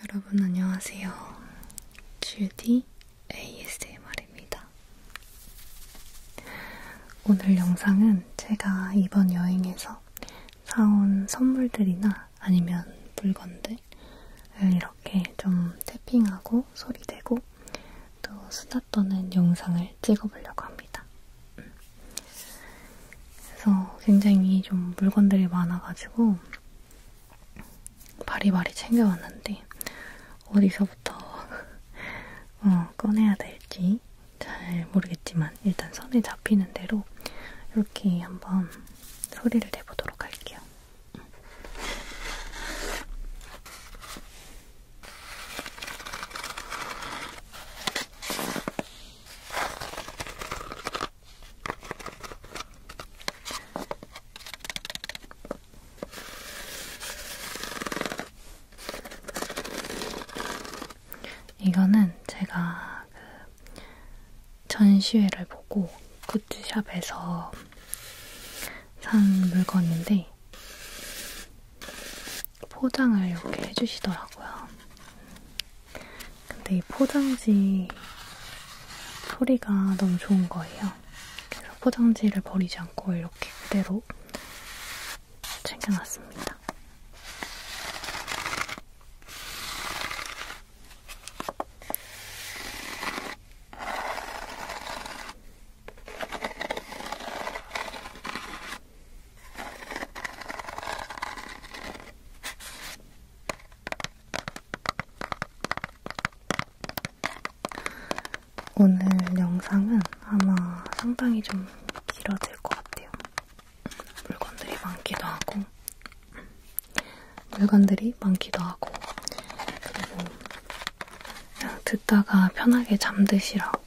여러분 안녕하세요. 주디 ASMR입니다. 오늘 영상은 제가 이번 여행에서 사온 선물들이나 아니면 물건들 이렇게 좀 태핑하고 소리내고 또 수다 떠는 영상을 찍어보려고 합니다. 음. 그래서 굉장히 좀 물건들이 많아가지고 바리바리 챙겨왔는데 어디서부터 어, 꺼내야 될지 잘 모르겠지만 일단 선에 잡히는 대로 이렇게 한번 소리를 내보도록 할게요. 이거는 제가 그 전시회를 보고 굿즈샵에서 산 물건인데 포장을 이렇게 해주시더라고요. 근데 이 포장지 소리가 너무 좋은 거예요. 그래서 포장지를 버리지 않고 이렇게 그대로 챙겨놨습니다. 오늘 영상은 아마 상당히 좀 길어질 것 같아요. 물건들이 많기도 하고, 물건들이 많기도 하고, 그리고 그냥 듣다가 편하게 잠드시라고.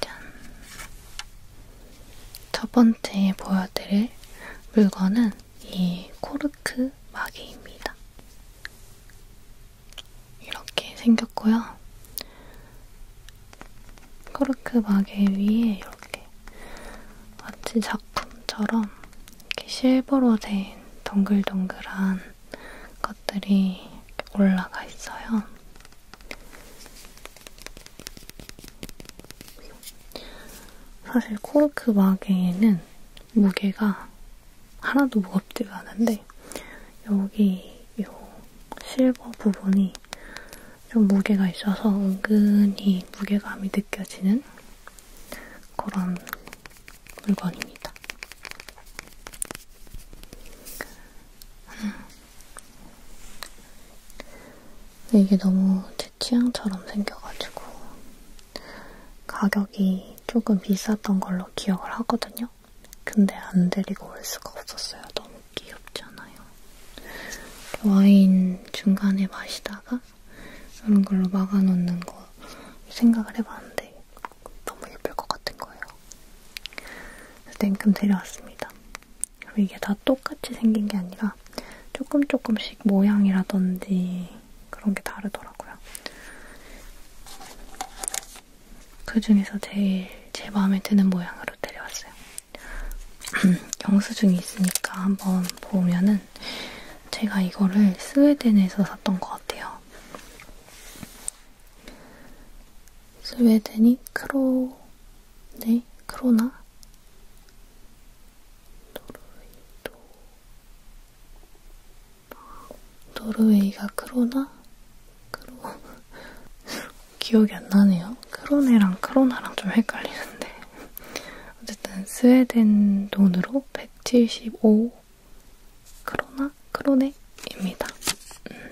짠! 첫 번째 보여드릴 물건은 이 코르크 마개입니다. 이렇게 생겼고요. 코르크 마개 위에 이렇게 마치 작품처럼 이렇게 실버로 된 동글동글한 것들이 올라가 있어요. 사실 코르크 마개에는 그 무게가 하나도 무겁지가 않은데 여기 이 실버 부분이 좀 무게가 있어서 은근히 무게감이 느껴지는 그런 물건입니다. 음. 이게 너무 제 취향처럼 생겨가지고 가격이 조금 비쌌던 걸로 기억을 하거든요. 근데 안 데리고 올 수가 없었어요. 너무 귀엽잖아요. 와인 중간에 마시다가 이런 걸로 막아놓는 거 생각을 해봤는데 너무 예쁠 것 같은 거예요. 그래서 냉큼 데려왔습니다. 그리고 이게 다 똑같이 생긴 게 아니라 조금 조금씩 모양이라든지 그런 게 다르더라고요. 그 중에서 제일 제 마음에 드는 모양으로 데려왔어요. 영수증이 있으니까 한번 보면은 제가 이거를 스웨덴에서 샀던 것 같아요. 스웨덴이 크로, 네, 크로나? 노르웨이도, 노르웨이가 크로나? 크로, 기억이 안 나네요. 크로네랑 크로나랑 좀 헷갈리는데. 어쨌든 스웨덴 돈으로 175오 그러나 그러네입니다. 음.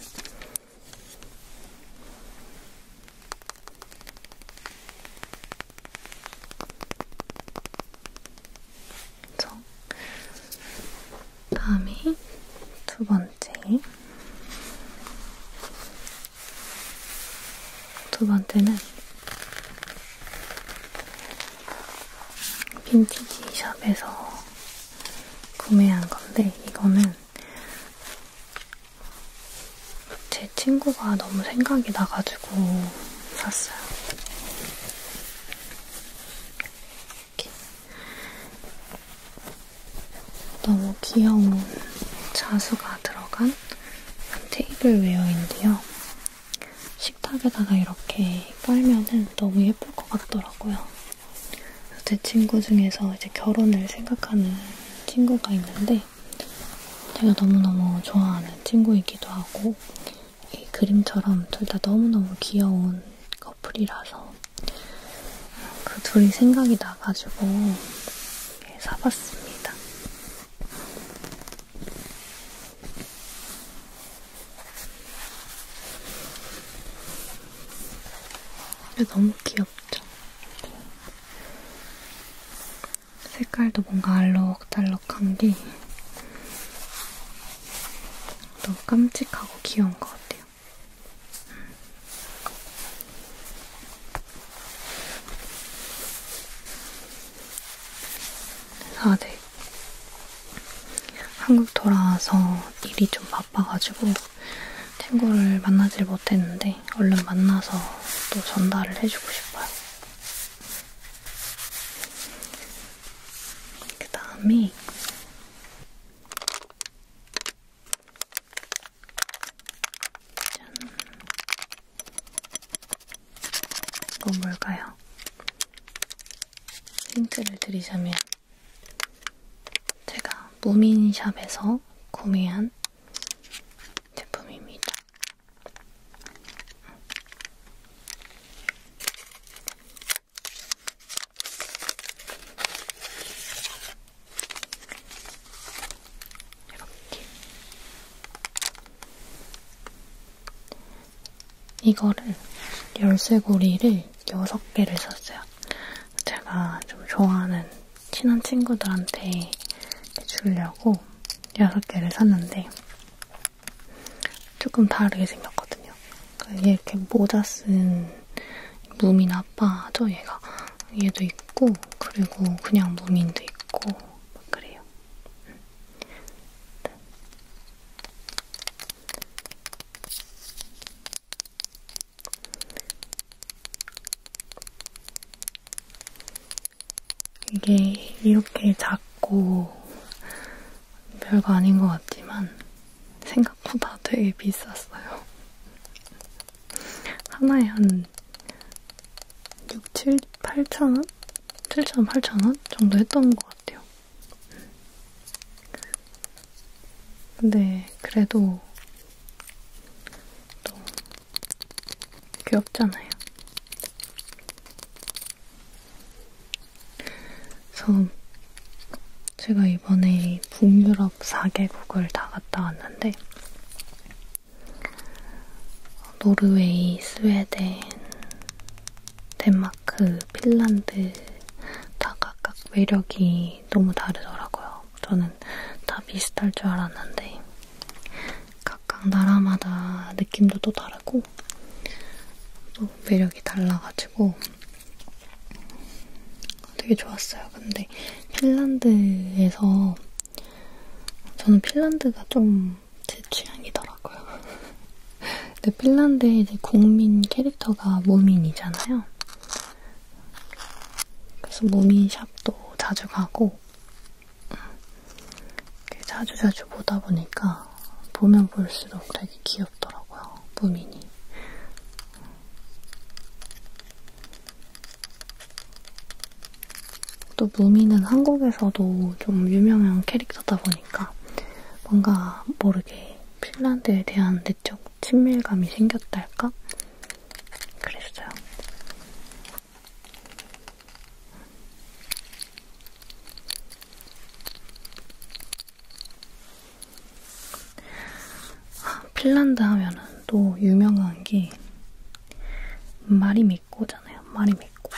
그쵸? 다음에 두 번째. 두 번째는 빈티지 샵에서 구매한 건데, 이거는 제 친구가 너무 생각이 나가지고 샀어요. 이렇게. 너무 귀여운 자수가 들어간 테이블 웨어인데요. 식탁에다가 이렇게 깔면은 너무 예쁠 것 같더라고요. 제 친구 중에서 이제 결혼을 생각하는 친구가 있는데 제가 너무너무 좋아하는 친구이기도 하고 이 그림처럼 둘 다 너무너무 귀여운 커플이라서 그 둘이 생각이 나가지고 사봤습니다. 너무 귀엽죠? 색깔도 뭔가 알록달록한 게 너무 깜찍하고 귀여운 것 같아요. 그래서 음. 아, 네. 한국 돌아와서 일이 좀 바빠가지고 친구를 만나질 못했는데 얼른 만나서 또 전달을 해주고 싶어요. 그 다음에 짠 이거 뭘까요? 힌트를 드리자면 제가 무민샵에서 구매한 제품입니다. 이렇게 이거를 열쇠고리를 6개를 샀어요. 제가 좀 좋아하는 친한 친구들한테 주려고 6개를 샀는데 조금 다르게 생겼거든요. 이게 그러니까 이렇게 모자 쓴 무민 아빠죠, 얘가. 얘도 있고 그리고 그냥 무민도 있고 그래요. 이게 이렇게 작고 별거 아닌 것 같지만 생각보다 되게 비쌌어요. 하나에 한 6, 7, 8,000원? 7,000원, 8,000원 정도 했던 것 같아요. 근데 그래도 또 귀엽잖아요. 그래서 제가 이번에 북유럽 4개국을 다 갔다 왔는데 노르웨이, 스웨덴, 덴마크, 그 핀란드 다 각각 매력이 너무 다르더라고요. 저는 다 비슷할 줄 알았는데 각각 나라마다 느낌도 또 다르고 또 매력이 달라가지고 되게 좋았어요. 근데 핀란드에서 저는 핀란드가 좀 제 취향이더라고요. 근데 핀란드의 이제 국민 캐릭터가 모민이잖아요. 그래서 모민 샵도 자주 가고 자주 자주 보다 보니까 보면 볼수록 되게 귀엽더라고요. 무민이. 또 무민은 한국에서도 좀 유명한 캐릭터다 보니까 뭔가 모르게 핀란드에 대한 내적 친밀감이 생겼달까? 그랬어요. 핀란드 하면은 또 유명한 게 말이 믿고잖아요. 말이 믿고.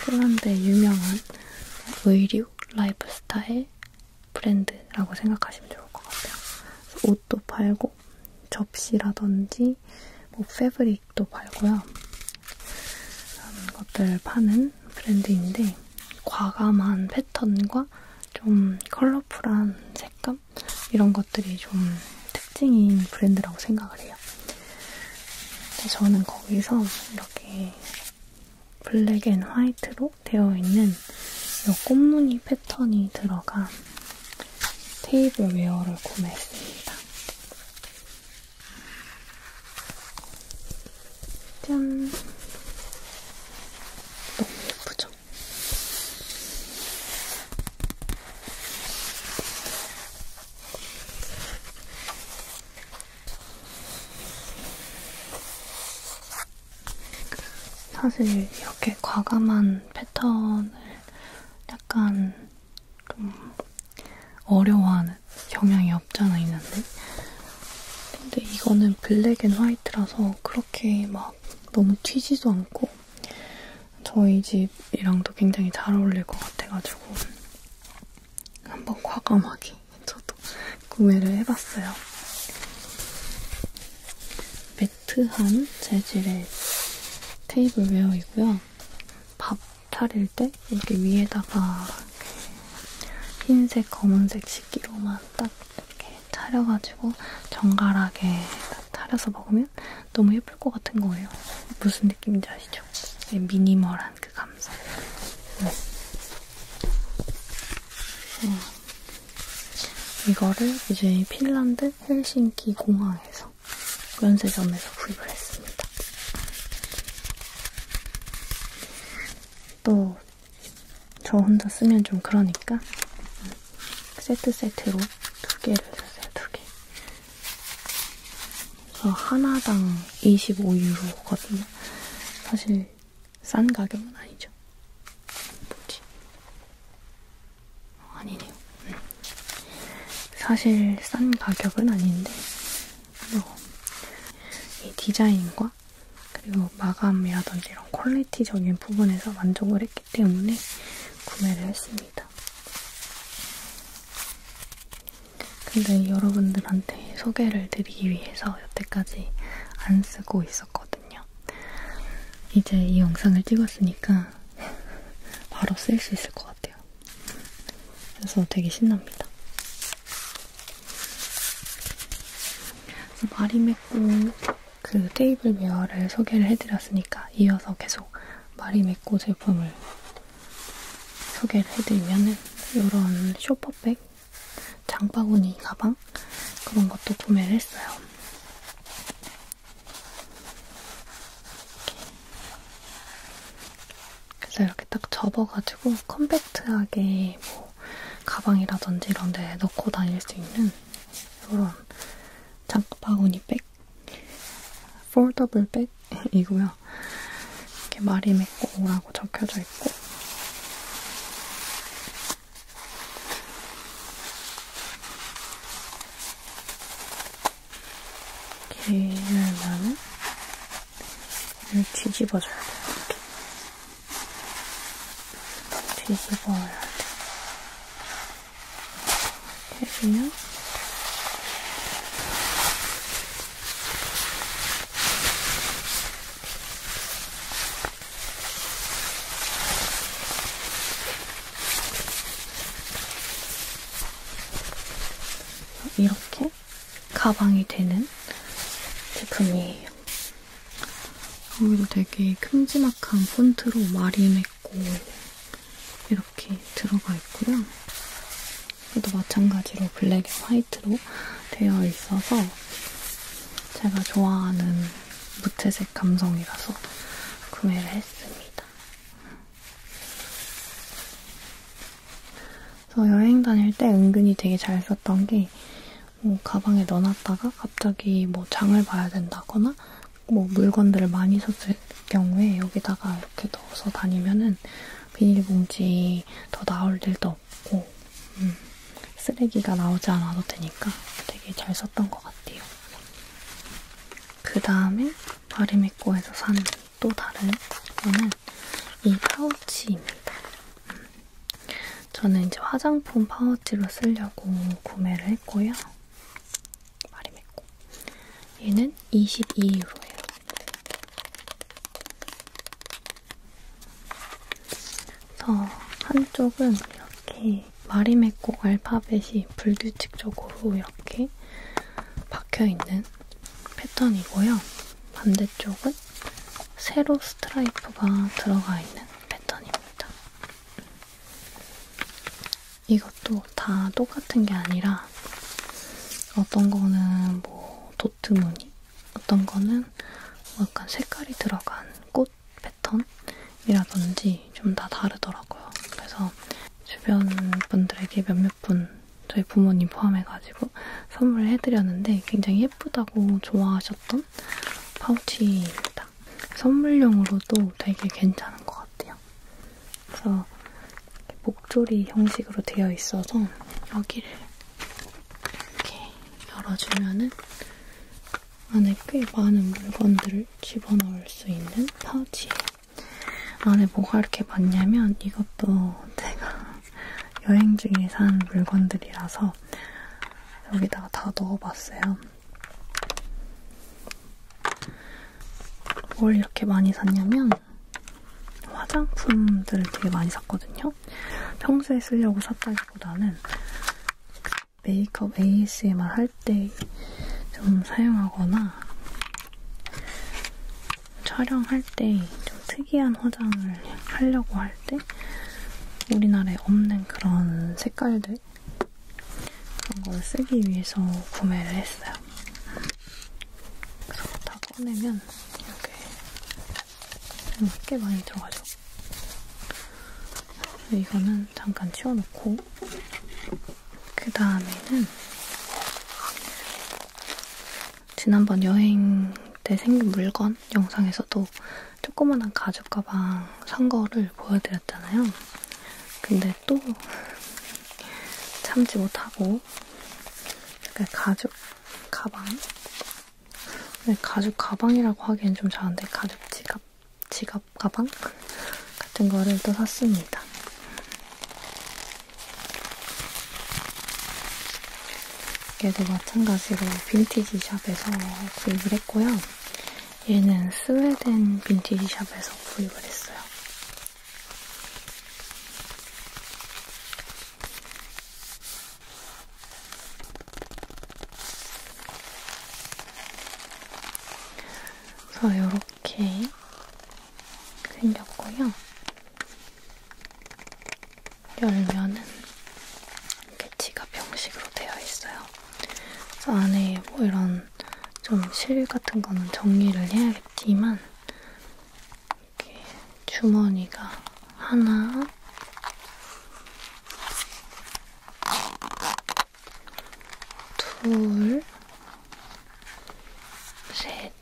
핀란드의 유명한 의류, 라이프스타일 브랜드라고 생각하시면 좋을 것 같아요. 옷도 팔고 접시라든지 뭐 패브릭도 팔고요. 그런 것들 파는 브랜드인데 과감한 패턴과 좀 컬러풀한 색감 이런 것들이 좀 특징인 브랜드라고 생각을 해요. 근데 저는 거기서 이렇게 블랙 앤 화이트로 되어 있는 이 꽃무늬 패턴이 들어간 테이블 웨어를 구매했습니다. 짠! 너무 예쁘죠? 사실 이렇게 과감한 패턴을 약간 좀 어려워하는 경향이 없잖아 있는데 근데 이거는 블랙 앤 화이트라서 그렇게 막 너무 튀지도 않고 저희 집이랑도 굉장히 잘 어울릴 것 같아가지고 한번 과감하게 저도 구매를 해봤어요. 매트한 재질의 테이블웨어이고요. 밥 차릴 때 이렇게 위에다가 이렇게 흰색, 검은색 식기로만 딱 이렇게 차려가지고 정갈하게 차려서 먹으면 너무 예쁠 것 같은 거예요. 무슨 느낌인지 아시죠? 네, 미니멀한 그 감성. 음. 이거를 이제 핀란드 헬싱키 공항에서 면세점에서 구입을 했습니다. 또, 저 혼자 쓰면 좀 그러니까 세트 세트로 두 개를 샀어요, 두 개. 그래서 하나당 25유로거든요. 사실 싼 가격은 아니죠. 뭐지? 어, 아니네요. 음. 사실 싼 가격은 아닌데 뭐이 디자인과 그리고 마감이라든지 이런 퀄리티적인 부분에서 만족을 했기 때문에 구매를 했습니다. 근데 여러분들한테 소개를 드리기 위해서 여태까지 안 쓰고 있었거든요. 이제 이 영상을 찍었으니까 바로 쓸 수 있을 것 같아요. 그래서 되게 신납니다. 그래서 마리메꾸 그 테이블 웨어를 소개를 해드렸으니까 이어서 계속 마리메꾸 제품을 소개를 해드리면은 이런 쇼퍼백 장바구니 가방 그런 것도 구매를 했어요. 이렇게. 그래서 이렇게 딱 접어가지고 컴팩트하게 뭐 가방이라든지 이런 데 넣고 다닐 수 있는 이런 장바구니 백, 폴더블 백이고요. 이렇게 말이 맺고 오라고 적혀져 있고 길면 을 뒤집어줘야 돼. 이렇게. 뒤집어야 돼. 이렇게 해주면 이렇게 가방이 되는 제품이에요. 아무래도 되게 큼지막한 폰트로 마림했고 이렇게 들어가 있고요. 또 마찬가지로 블랙에 화이트로 되어 있어서 제가 좋아하는 무채색 감성이라서 구매를 했습니다. 그래서 여행 다닐 때 은근히 되게 잘 썼던 게 뭐 가방에 넣어놨다가 갑자기 뭐 장을 봐야 된다거나 뭐 물건들을 많이 썼을 경우에 여기다가 이렇게 넣어서 다니면은 비닐봉지 더 나올 일도 없고 음, 쓰레기가 나오지 않아도 되니까 되게 잘 썼던 것 같아요. 그 다음에 바리미코에서 산 또 다른 거는 이 파우치입니다. 음, 저는 이제 화장품 파우치로 쓰려고 구매를 했고요. 바리미코 얘는 22유로예요. 그래서 한쪽은 이렇게 마리메코 알파벳이 불규칙적으로 이렇게 박혀있는 패턴이고요. 반대쪽은 세로 스트라이프가 들어가 있는 패턴입니다. 이것도 다 똑같은 게 아니라 어떤 거는 뭐 보트무늬 어떤 거는 뭐 약간 색깔이 들어간 꽃 패턴이라든지 좀 다 다르더라고요. 그래서 주변 분들에게 몇몇 분 저희 부모님 포함해가지고 선물을 해드렸는데 굉장히 예쁘다고 좋아하셨던 파우치입니다. 선물용으로도 되게 괜찮은 것 같아요. 그래서 목조리 형식으로 되어 있어서 여기를 이렇게 열어주면은 안에 꽤 많은 물건들을 집어넣을 수 있는 파우치예요. 안에 뭐가 이렇게 많냐면 이것도 제가 여행 중에 산 물건들이라서 여기다가 다 넣어봤어요. 뭘 이렇게 많이 샀냐면 화장품들을 되게 많이 샀거든요. 평소에 쓰려고 샀다기보다는 그 메이크업 ASMR 할 때 좀 사용하거나 촬영할 때 좀 특이한 화장을 하려고 할 때 우리나라에 없는 그런 색깔들 그런 걸 쓰기 위해서 구매를 했어요. 그래서 다 꺼내면 이렇게 꽤 많이 들어가죠. 이거는 잠깐 치워놓고 그 다음에는 지난번 여행 때 생긴 물건 영상에서도 조그만한 가죽 가방 산 거를 보여드렸잖아요. 근데 또 참지 못하고 가죽 가방 네, 가죽 가방이라고 하기엔 좀 작은데 가죽 지갑, 지갑 가방 같은 거를 또 샀습니다. 얘도 마찬가지로 빈티지 샵에서 구입을 했고요. 얘는 스웨덴 빈티지 샵에서 구입을 했어요. 그래서 이렇게 생겼고요. 열면은 이렇게 지갑 형식으로 되어 있어요. 그래서 안에 뭐 이런 좀 실 같은 거는 정리를 해야겠지만 이렇게 주머니가 하나, 둘, 셋,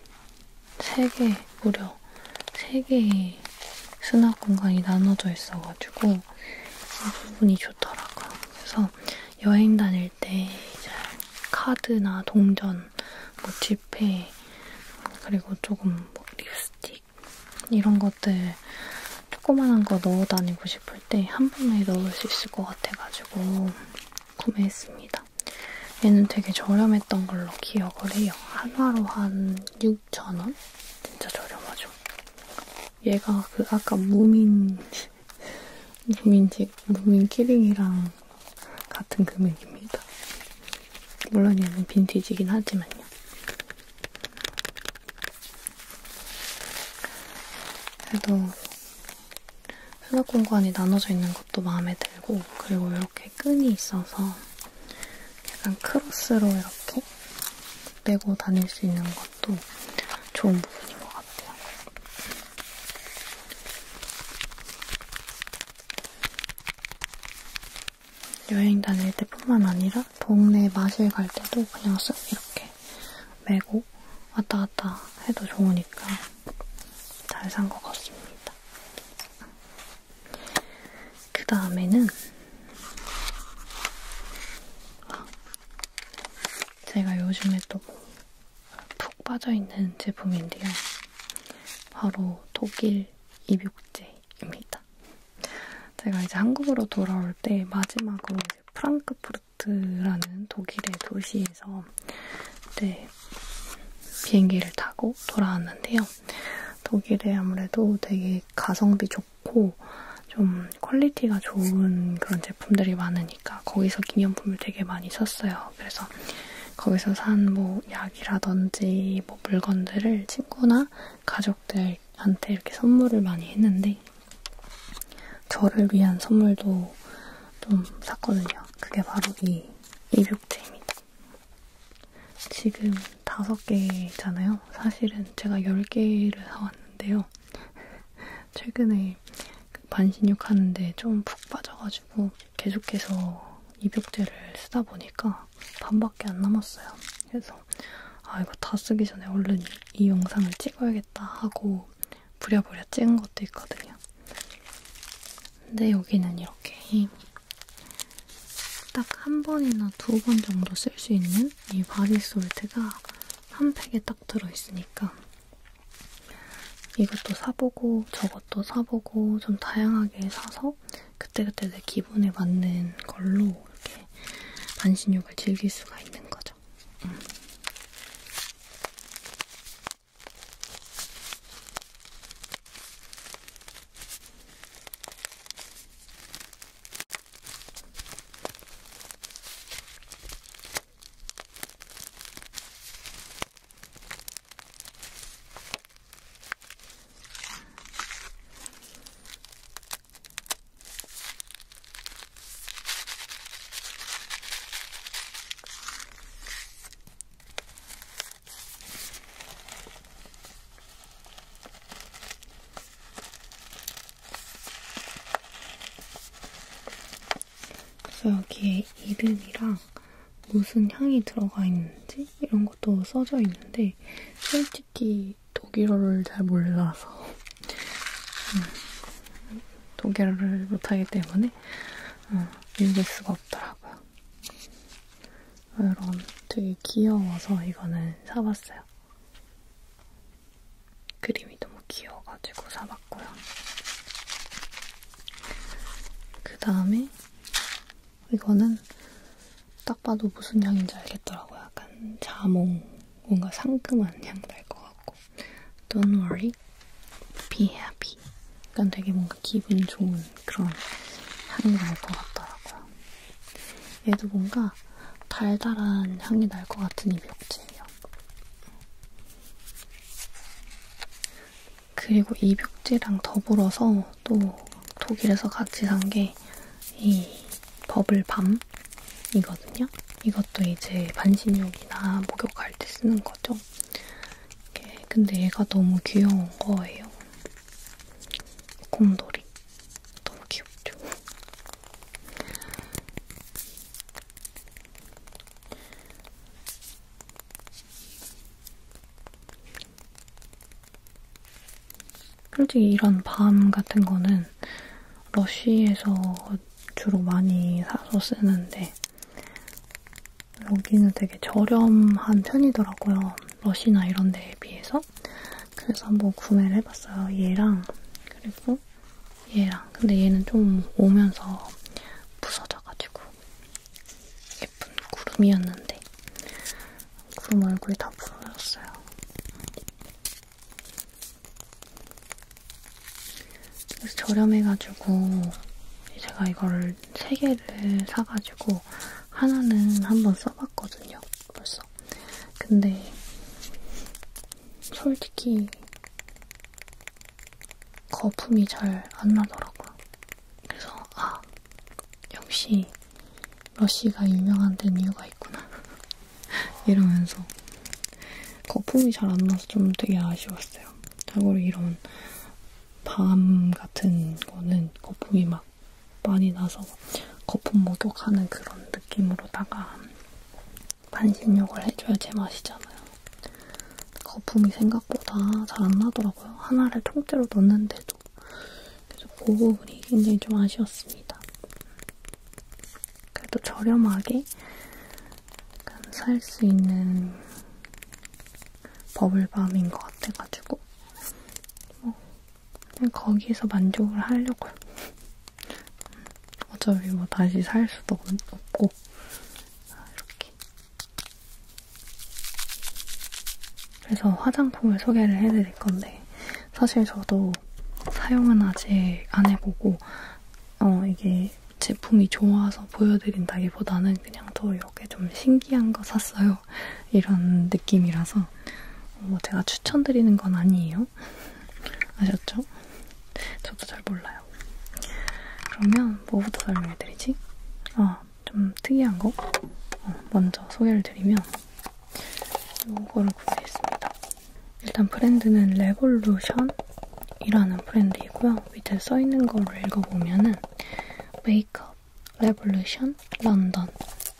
세 개, 무려 세 개의 수납 공간이 나눠져 있어가지고 이 부분이 좋더라고요. 그래서 여행 다닐 때 이제 카드나 동전, 뭐 지폐, 그리고 조금 뭐 립스 스틱 이런 것들 조그만한 거 넣어 다니고 싶을 때 한 번에 넣을 수 있을 것 같아가지고 구매했습니다. 얘는 되게 저렴했던 걸로 기억을 해요. 하나로 한 6,000원? 진짜 저렴하죠. 얘가 그 아까 무민, 무민지, 무민 키링이랑 같은 금액입니다. 물론 얘는 빈티지긴 하지만요. 그래도 수납 공간이 나눠져 있는 것도 마음에 들고 그리고 이렇게 끈이 있어서 약간 크로스로 이렇게 빼고 다닐 수 있는 것도 좋은 부분인 것 같아요. 여행 다닐 때 뿐만 아니라 동네 마실 갈 때도 그냥 쓱 이렇게 메고 왔다 갔다 해도 좋으니까 잘 산 것 같습니다. 그 다음에는 제가 요즘에 또 푹 빠져있는 제품인데요. 바로 독일 입욕제 입니다. 제가 이제 한국으로 돌아올 때 마지막으로 이제 프랑크푸르트라는 독일의 도시에서 네, 비행기를 타고 돌아왔는데요. 독일에 아무래도 되게 가성비 좋고 좀 퀄리티가 좋은 그런 제품들이 많으니까 거기서 기념품을 되게 많이 샀어요. 그래서 거기서 산 뭐 약 약이라든지 뭐 물건들을 친구나 가족들한테 이렇게 선물을 많이 했는데 저를 위한 선물도 좀 샀거든요. 그게 바로 이 입욕제입니다. 지금 다섯 개잖아요. 사실은 제가 열 개를 사왔는데요. 최근에 그 반신욕 하는데 좀 푹 빠져가지고 계속해서 입욕제를 쓰다 보니까 반밖에 안 남았어요. 그래서 아 이거 다 쓰기 전에 얼른 이, 이 영상을 찍어야겠다 하고 부랴부랴 찍은 것도 있거든요. 근데 여기는 이렇게 딱 한 번이나 두 번 정도 쓸 수 있는 이 바디솔트가 한 팩에 딱 들어있으니까 이것도 사보고 저것도 사보고 좀 다양하게 사서 따라서 그때그때 내 기분에 맞는 걸로 이렇게 반신욕을 즐길 수가 있는 거죠. 음. 그래서 여기에 이름이랑 무슨 향이 들어가 있는지 이런 것도 써져 있는데 솔직히 독일어를 잘 몰라서 음, 독일어를 못하기 때문에 음, 읽을 수가 없더라고요. 이런 되게 귀여워서 이거는 사봤어요. 그림이 너무 귀여워가지고 사봤고요. 그 다음에 이거는 딱 봐도 무슨 향인지 알겠더라고요. 약간 자몽, 뭔가 상큼한 향날것 같고. Don't worry, be happy. 약간 되게 뭔가 기분 좋은 그런 향이 날 것 같더라고요. 얘도 뭔가 달달한 향이 날 것 같은 입욕제예요. 그리고 입욕제랑 더불어서 또 독일에서 같이 산 게 이 버블밤 이거든요. 이것도 이제 반신욕이나 목욕할 때 쓰는 거죠. 근데 얘가 너무 귀여운 거예요. 곰돌이. 너무 귀엽죠? 솔직히 이런 밤 같은 거는 러쉬에서 주로 많이 사서 쓰는데 여기는 되게 저렴한 편이더라고요. 러쉬나 이런 데에 비해서. 그래서 한번 구매를 해봤어요. 얘랑 그리고 얘랑. 근데 얘는 좀 오면서 부서져가지고 예쁜 구름이었는데 그럼 얼굴이 다 부러졌어요. 그래서 저렴해가지고 제가 이거를 세 개를 사가지고 하나는 한번 써봤거든요. 벌써. 근데 솔직히 거품이 잘 안 나더라고요. 그래서 아 역시 러쉬가 유명한 데는 이유가 있구나. 이러면서 거품이 잘 안 나서 좀 되게 아쉬웠어요. 자고로 이런 밤 같은 거는 거품이 막 많이 나서 거품 목욕하는 그런 느낌으로다가 반신욕을 해줘야 제맛이잖아요. 거품이 생각보다 잘 안 나더라고요. 하나를 통째로 넣는데도 그래서 그 부분이 굉장히 좀 아쉬웠습니다. 그래도 저렴하게 살 수 있는 버블밤인 것 같아가지고 뭐 그냥 거기에서 만족을 하려고요. 어차피 뭐 다시 살 수도 없고 아, 이렇게 그래서 화장품을 소개를 해드릴 건데 사실 저도 사용은 아직 안 해보고 어 이게 제품이 좋아서 보여드린다기보다는 그냥 더 이렇게 좀 신기한 거 샀어요 이런 느낌이라서 뭐 제가 추천드리는 건 아니에요 아셨죠? 저도 잘 몰라요 그러면 뭐부터 설명해드리지? 아좀 특이한 거 어, 먼저 소개를 드리면 이거를 구매했습니다. 일단 브랜드는 레볼루션이라는 브랜드이고요. 밑에 써있는 거를 읽어보면은 메이크업, 레볼루션, 런던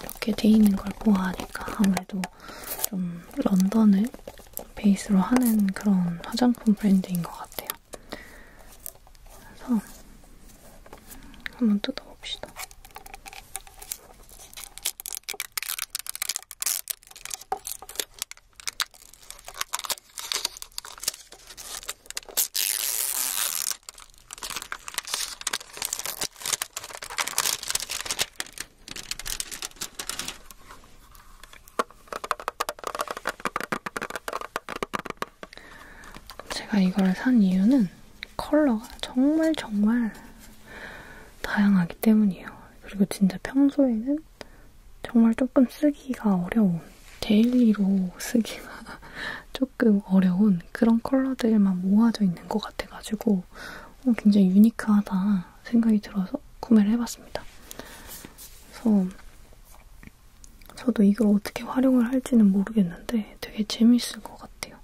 이렇게 돼 있는 걸 보아하니까 아무래도 좀 런던을 베이스로 하는 그런 화장품 브랜드인 것 같아요. 그래서 한번 뜯어봅시다. 제가 이걸 산 이유는 컬러가 정말 정말 다양하기 때문이에요. 그리고 진짜 평소에는 정말 조금 쓰기가 어려운, 데일리로 쓰기가 조금 어려운 그런 컬러들만 모아져 있는 것 같아가지고 어, 굉장히 유니크하다 생각이 들어서 구매를 해봤습니다. 그래서 저도 이걸 어떻게 활용을 할지는 모르겠는데 되게 재밌을 것 같아요.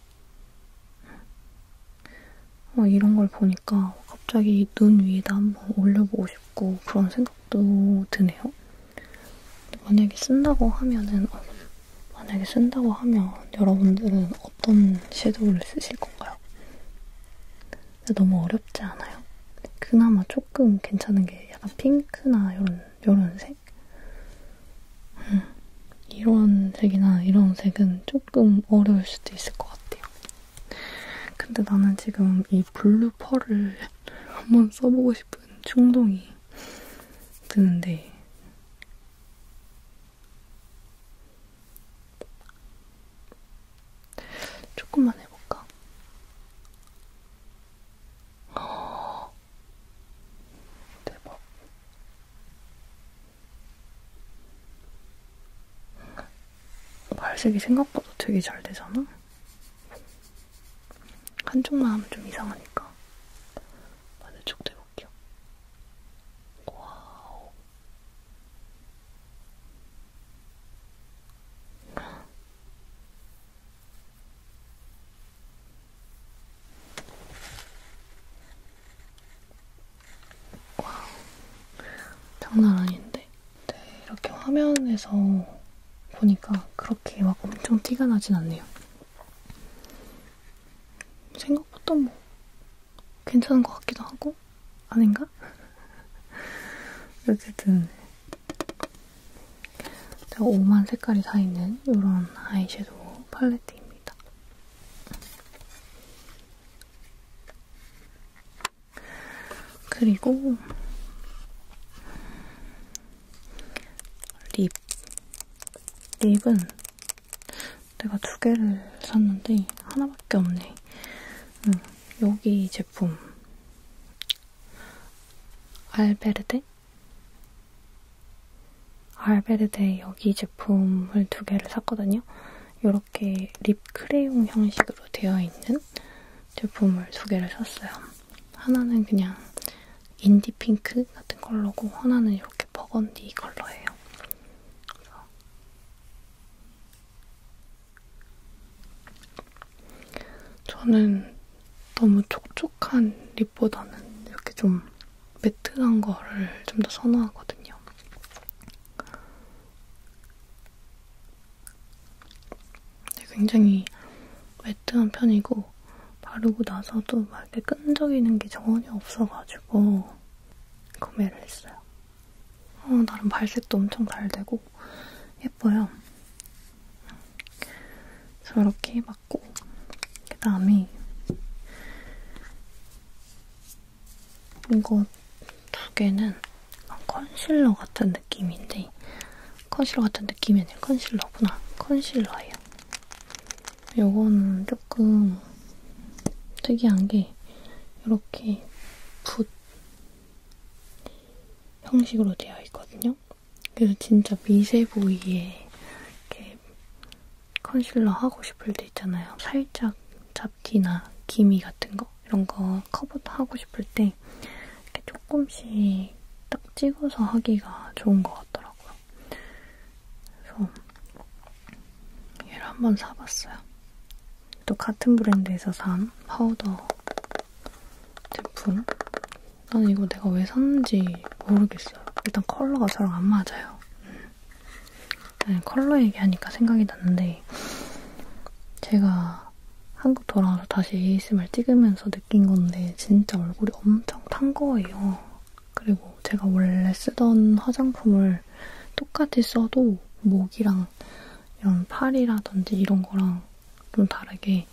어, 이런 걸 보니까 갑자기 눈 위에다 한번 올려보고 싶고 그런 생각도 드네요. 만약에 쓴다고 하면은, 어, 만약에 쓴다고 하면 여러분들은 어떤 섀도우를 쓰실 건가요? 너무 어렵지 않아요? 그나마 조금 괜찮은 게 약간 핑크나 이런, 이런 색? 색? 음, 이런 색이나 이런 색은 조금 어려울 수도 있을 것 같아요. 근데 나는 지금 이 블루 펄을 한번 써보고 싶은 충동이 드는데 조금만 해볼까? 대박. 발색이 생각보다 되게 잘 되잖아? 한쪽만 하면 좀 이상하니까 반대쪽도 해볼게요. 와우. 와, 장난 아닌데. 네, 이렇게 화면에서 보니까 그렇게 막 엄청 티가 나진 않네요. 생각보다 뭐 괜찮은 것 같기도 하고 아닌가? 어쨌든 제가 오만 색깔이 다 있는 이런 아이섀도우 팔레트 컬러입니다. 그리고 립. 립은 내가 두 개를 샀는데 하나밖에 없네. 응, 음, 여기 제품 알베르데? 알베르데 여기 제품을 두 개를 샀거든요. 이렇게 립 크레용 형식으로 되어 있는 제품을 두 개를 샀어요. 하나는 그냥 인디 핑크 같은 컬러고 하나는 이렇게 버건디 컬러예요. 그래서 저는 너무 촉촉한 립보다는 이렇게 좀 매트한 거를 좀 더 선호하거든요. 굉장히 매트한 편이고 바르고 나서도 막 이렇게 끈적이는 게 전혀 없어가지고 구매를 했어요. 어, 나름 발색도 엄청 잘 되고 예뻐요. 저렇게 막 같고 그 다음에 이거 두 개는 컨실러 같은 느낌인데 컨실러 같은 느낌이 아니라 컨실러구나 컨실러예요 요거는 조금 특이한 게 이렇게 붓 형식으로 되어 있거든요 그래서 진짜 미세 부위에 이렇게 컨실러 하고 싶을 때 있잖아요. 살짝 잡티나 기미 같은 거 이런 거 커버도 하고 싶을 때 이렇게 조금씩 딱 찍어서 하기가 좋은 것 같더라고요. 그래서 얘를 한번 사봤어요. 또 같은 브랜드에서 산 파우더 제품 나는 이거 내가 왜 샀는지 모르겠어요. 일단 컬러가 저랑 안 맞아요. 음. 네, 컬러 얘기하니까 생각이 났는데 제가 한국 돌아와서 다시 ASMR 찍으면서 느낀 건데 진짜 얼굴이 엄청 탄 거예요. 그리고 제가 원래 쓰던 화장품을 똑같이 써도 목이랑 이런 팔이라든지 이런 거랑 좀 다르게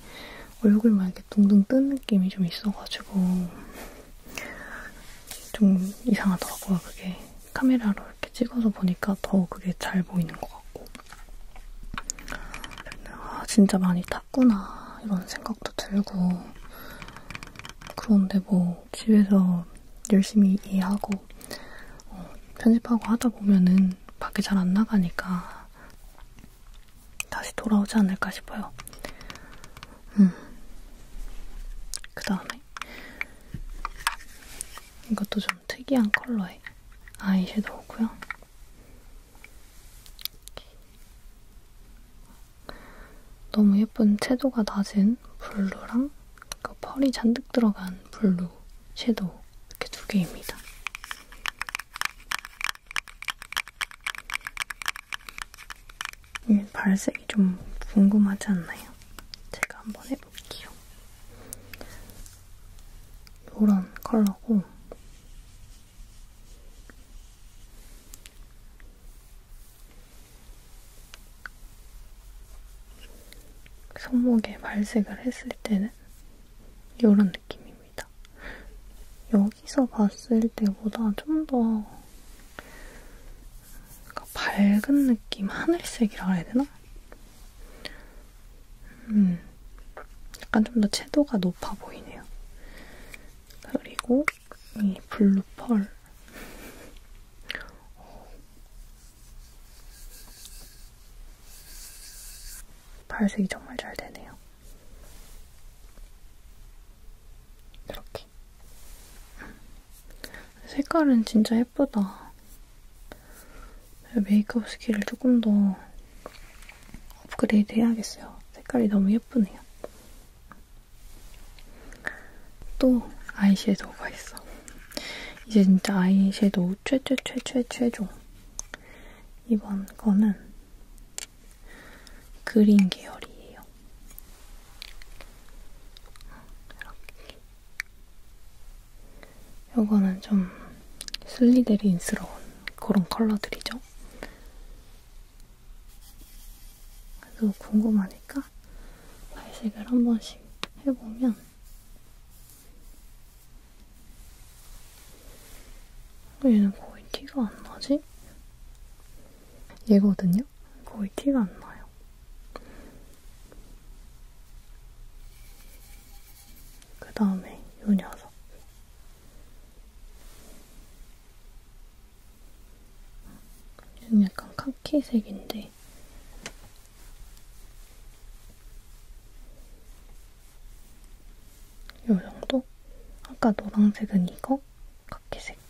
얼굴만 이렇게 둥둥 뜬 느낌이 좀 있어가지고 좀 이상하더라고요. 그게 카메라로 이렇게 찍어서 보니까 더 그게 잘 보이는 것 같고. 아, 진짜 많이 탔구나. 이런 생각도 들고. 그런데 뭐 집에서 열심히 이해하고 어, 편집하고 하다 보면은 밖에 잘 안 나가니까 다시 돌아오지 않을까 싶어요. 음. 그 다음에 이것도 좀 특이한 컬러의 아이섀도우고요. 너무 예쁜 채도가 낮은 블루랑 그 펄이 잔뜩 들어간 블루 섀도우 이렇게 두 개입니다. 음, 발색이 좀 궁금하지 않나요? 제가 한번 해볼게요. 요런 컬러고 손목에 발색을 했을 때는 요런 느낌입니다. 요 여기서 봤을 때보다 좀 더 밝은 느낌, 하늘색이라 해야 되나? 음, 약간 좀 더 채도가 높아 보이네요. 그리고 이 블루 펄. 발색이 정말 잘 되네요. 이렇게. 이렇게. 색깔은 진짜 예쁘다. 메이크업 스킬을 조금 더 업그레이드 해야겠어요. 색깔이 너무 예쁘네요. 또 아이섀도우가 있어. 이제 진짜 아이섀도우 최최최최최종. 이번 거는 그린 계열이에요. 음, 이렇게. 요거는 좀 슬리데린스러운 그런 컬러들이죠. 그래서 궁금하니까 발색을 한 번씩 해보면 어, 얘는 거의 티가 안 나지? 얘거든요. 거의 티가 안 나요. 그 다음에 요 녀석. 얘는 약간 카키색인데 요 정도? 아까 노란색은 이거? 카키색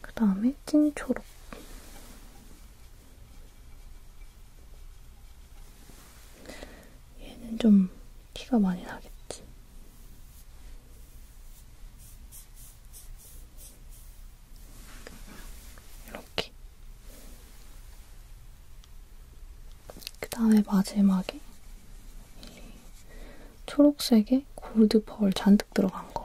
그 다음에 찐 초록. 얘는 좀 티가 많이 나겠지. 이렇게. 그 다음에 마지막에 1, 2, 초록색에 골드 펄 잔뜩 들어간 거.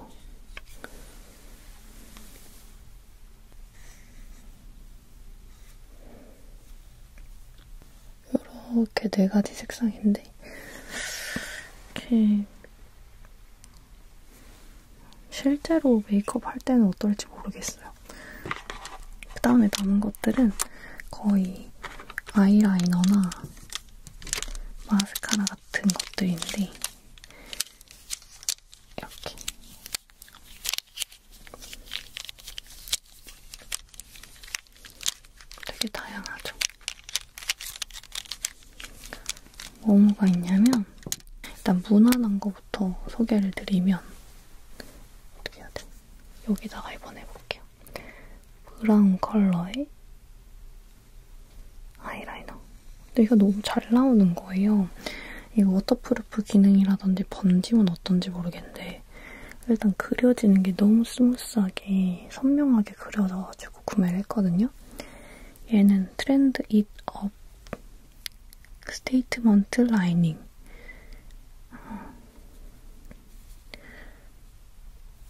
이렇게 네 가지 색상인데, 이렇게 실제로 메이크업 할 때는 어떨지 모르겠어요. 그 다음에 남은 것들은 거의 아이라이너나 마스카라 같은 것들인데 이렇게 되게 다양하죠. 뭐 뭐가 있냐면 일단 무난한 거부터 소개를 드리면 어떻게 해야 돼? 여기다가 이번에 해볼게요. 브라운 컬러의 아이라이너. 근데 이거 너무 잘 나오는 거예요. 이거 워터프루프 기능이라든지 번짐은 어떤지 모르겠는데 일단 그려지는 게 너무 스무스하게 선명하게 그려져가지고 구매를 했거든요. 얘는 트렌드 잇 업 스테이트먼트 라이닝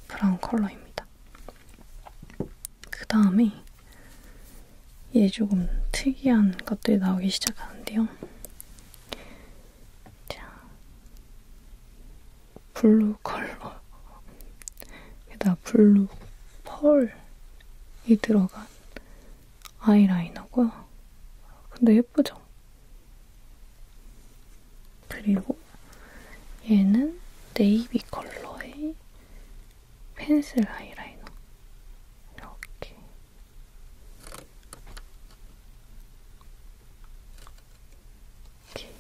브라운 컬러입니다. 그 다음에 얘 조금 특이한 것들이 나오기 시작하는데요. 자, 블루 컬러. 게다가 블루 펄이 들어간 아이라이너고요. 근데 예쁘죠? 그리고 얘는 네이비 컬러의 펜슬 하이라이너. 이렇게. 이렇게.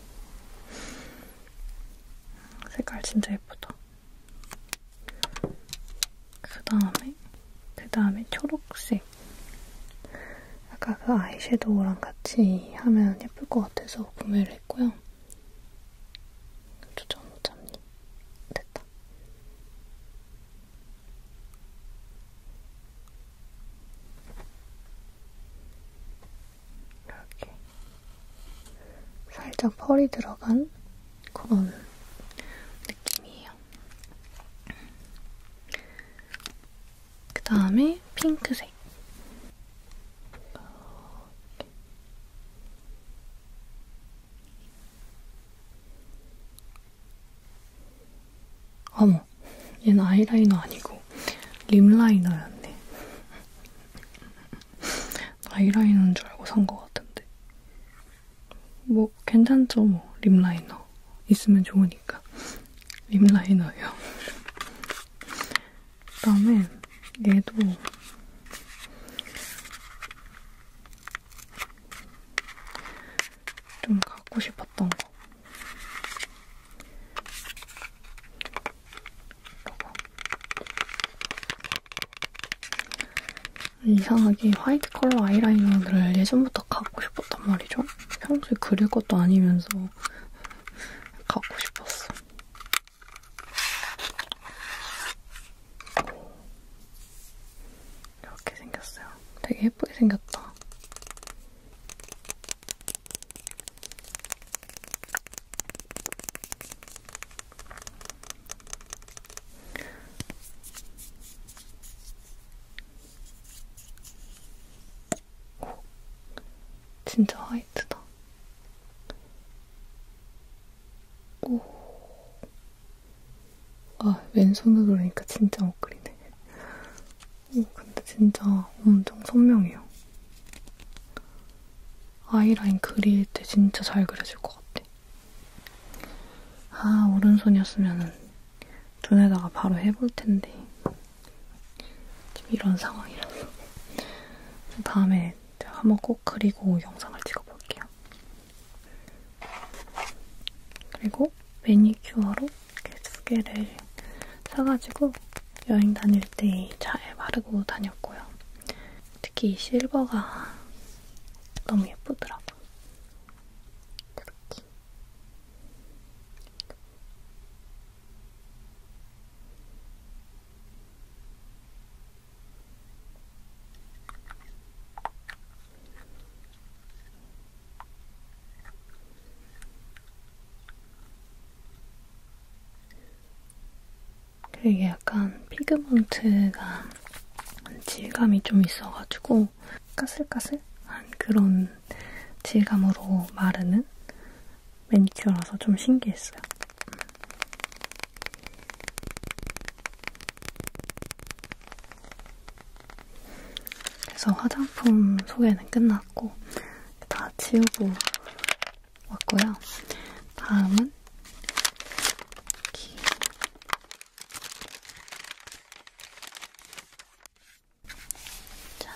색깔 진짜 예쁘다. 그 다음에, 그 다음에 초록색. 아까 그 아이섀도우랑 같이 하면 예쁠 것 같아서 구매를 했고요. 조정 못 잡니? 됐다. 이렇게 살짝 펄이 들어간 그런 느낌이에요. 그 다음에 핑크색. 어머, 얘는 아이라이너 아니고 립라이너였네. 아이라이너인 줄 알고 산 것 같은데. 뭐 괜찮죠, 뭐 립라이너 있으면 좋으니까 립라이너예요. 그 다음에 얘도 좀 갖고 싶었던 거. 이거. 이상하게 화이트 컬러 아이라이너를 예전부터 갖고 싶었단 말이죠. 평소에 그릴 것도 아니면서 갖고 싶었어. 이렇게 생겼어요. 되게 예쁘게 생겼다. 오, 진짜 화이트다. 오, 아, 왼손으로 그러니까 진짜 못 그리네. 오, 근데 진짜 엄청 선명해요. 아이라인 그릴 때 진짜 잘 그려질 것 같아. 아, 오른손이었으면 눈에다가 바로 해볼 텐데. 지금 이런 상황이라서 다음에 한번 꼭 그리고 영상을 찍어볼게요. 그리고 매니큐어로 이렇게 두 개를 사가지고 여행 다닐 때 잘 바르고 다녔고요. 특히 이 실버가 너무 예쁘더라고요. 이렇게. 이게 약간 피그먼트가 질감이 좀 있어가지고 까슬까슬한 그런 질감으로 마르는 매니큐어라서 좀 신기했어요. 그래서 화장품 소개는 끝났고 다 치우고 왔고요. 다음은 짠.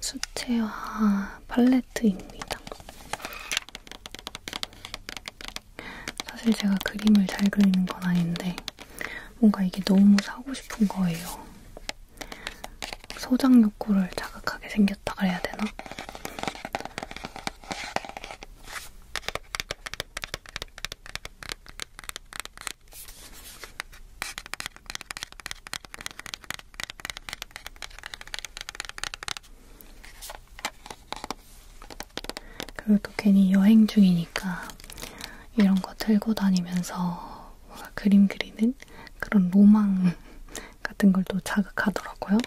수채화 팔레트입니다. 사실 제가 그림을 잘 그리는 건 아닌데, 뭔가 이게 너무 사고 싶은 거예요. 소장 욕구를 자극하게 생겼어요. 생겼다 그래야 되나? 그리고 또 괜히 여행 중이니까 이런 거 들고 다니면서 뭔가 그림 그리는 그런 로망 같은 걸 또 자극하더라고요.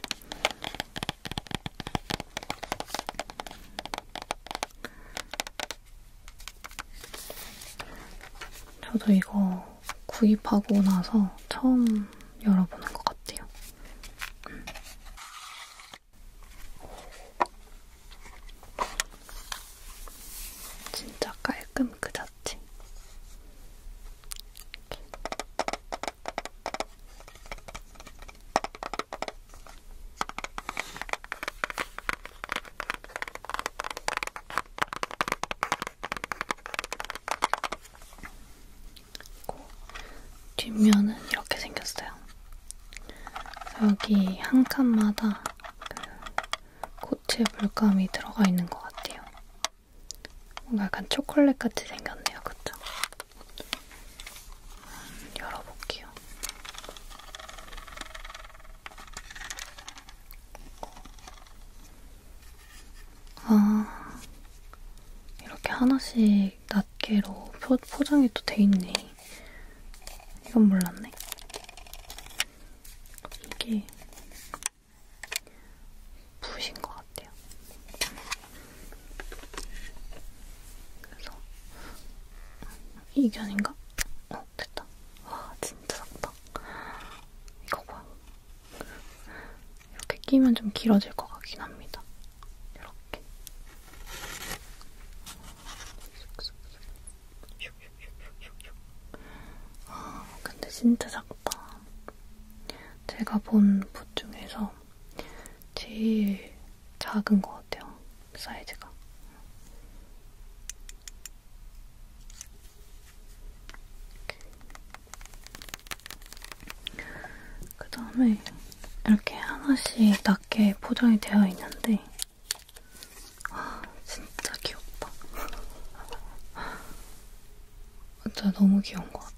저도 이거 구입하고 나서 처음 열어보는 것 같아요. 음. 진짜 깔끔 그 자체. 이렇게. 뒷면은 이렇게 생겼어요. 여기 한 칸마다 그 코트에 물감이 들어가 있는 것 같아요. 뭔가 약간 초콜릿 같이 생겼네요, 그쵸? 열어볼게요. 아, 이렇게 하나씩 낱개로 포, 포장이 또 돼 있네. 이건 몰랐네. 이게 부으신 것 같아요. 그래서 이견인가? 어 됐다. 와 진짜 작다. 이거 봐. 이렇게 끼면 좀 길어질 것 같긴 합니다. 이렇게. 아 근데 진짜 작다. 제가 본 붓 중에서 제일 작은 것 같아요. 사이즈가. 그 다음에 이렇게 하나씩 낮게 포장이 되어 있는데 와 아, 진짜 귀엽다. 진짜 너무 귀여운 것 같아.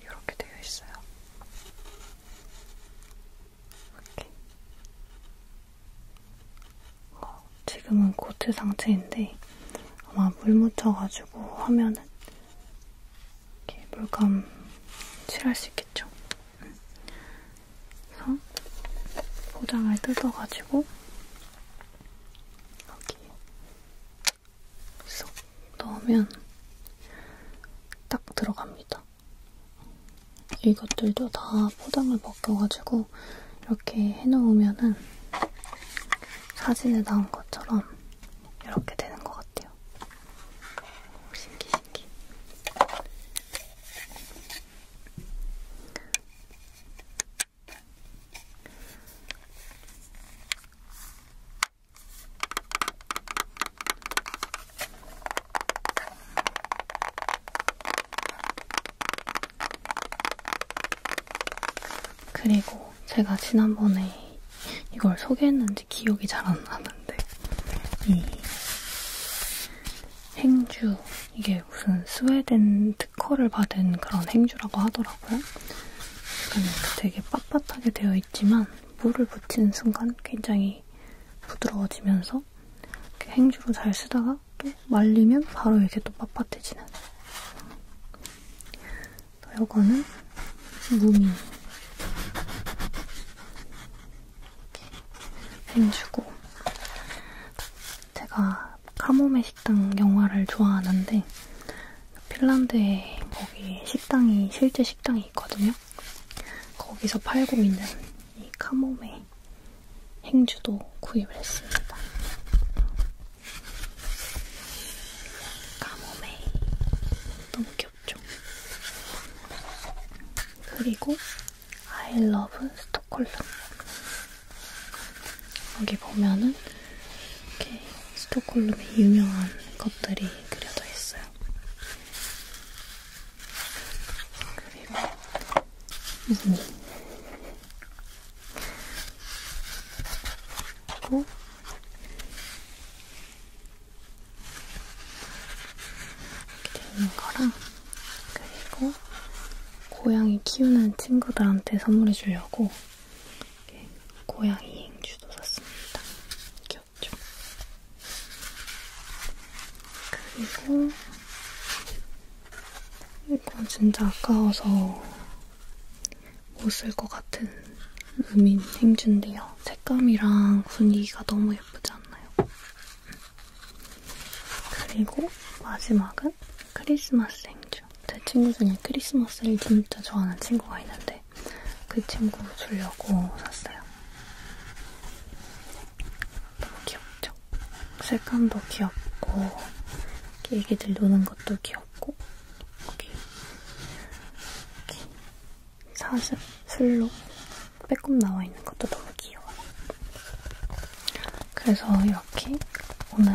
이렇게 되어 있어요. 이렇게. 어, 지금은 고트 상태인데 아마 물 묻혀가지고 하면은 이렇게 물감 칠할 수 있겠죠. 그래서 포장을 뜯어가지고 여기 쏙 넣으면 딱 들어갑니다. 이것들도 다 포장을 벗겨가지고 이렇게 해놓으면은 사진에 나온 것처럼 이렇게 되는 것 같아요. 신기 신기. 그리고 제가 지난번에 이걸 소개했는지 기억이 잘 안 나는데 이 행주 이게 무슨 스웨덴 특허를 받은 그런 행주라고 하더라고요. 그러니까 되게 빳빳하게 되어 있지만 물을 붙이는 순간 굉장히 굉장히 부드러워지면서 이렇게 행주로 잘 쓰다가 또 말리면 바로 이렇게 또 빳빳해지는 또 이거는 무미 행주고 제가 카모메 식당 영화를 좋아하는데 핀란드에 거기 식당이 실제 식당이 있거든요. 있거든요. 거기서 팔고 있는 이 카모메 행주도 구입을 했습니다. 카모메 너무 귀엽죠? 그리고 I love 스톡홀름 여기 보면은 이렇게 스톡홀름의 유명한 것들이 그려져 있어요. 그리고 이 그리고 이렇게 되는 거랑 그리고 고양이 키우는 친구들한테 선물해 주려고 이렇게 고양이 행주도 샀습니다. 귀엽죠? 있었죠. 그리고 이건 진짜 아까워서 못 쓸 것 같은 루민 행주인데요. 색감이랑 분위기가 너무 예쁘지 않나요? 그리고 마지막은 크리스마스 행주. 제 친구 중에 크리스마스를 진짜 좋아하는 친구가 있는데 그 친구 주려고 샀어요. 너무 귀엽죠? 색감도 귀엽고 애기들 노는 것도 귀엽고 여기, 여기 사슴, 술로 빼꼼 나와 있는 것도 너무 귀여워요. 그래서 이렇게 오늘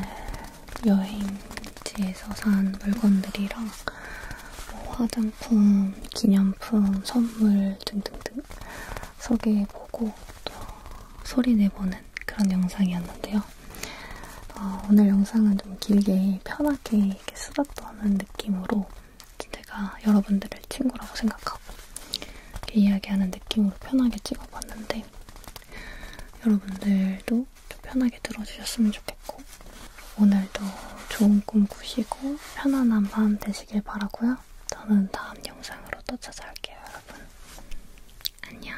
여행지에서 산 물건들이랑 뭐 화장 상품, 기념품, 선물 등등등 소개해보고 또 소리 내보는 그런 영상이었는데요. 어, 오늘 영상은 좀 길게 편하게 이렇게 수다 떠는 느낌으로 제가 여러분들을 친구라고 생각하고 이렇게 이야기하는 느낌으로 편하게 찍어봤는데 여러분들도 좀 편하게 들어주셨으면 좋겠고 오늘도 좋은 꿈 꾸시고 편안한 밤 되시길 즐기시길 바라고요. 저는 다음 영상으로 또 찾아올게요, 여러분. 안녕.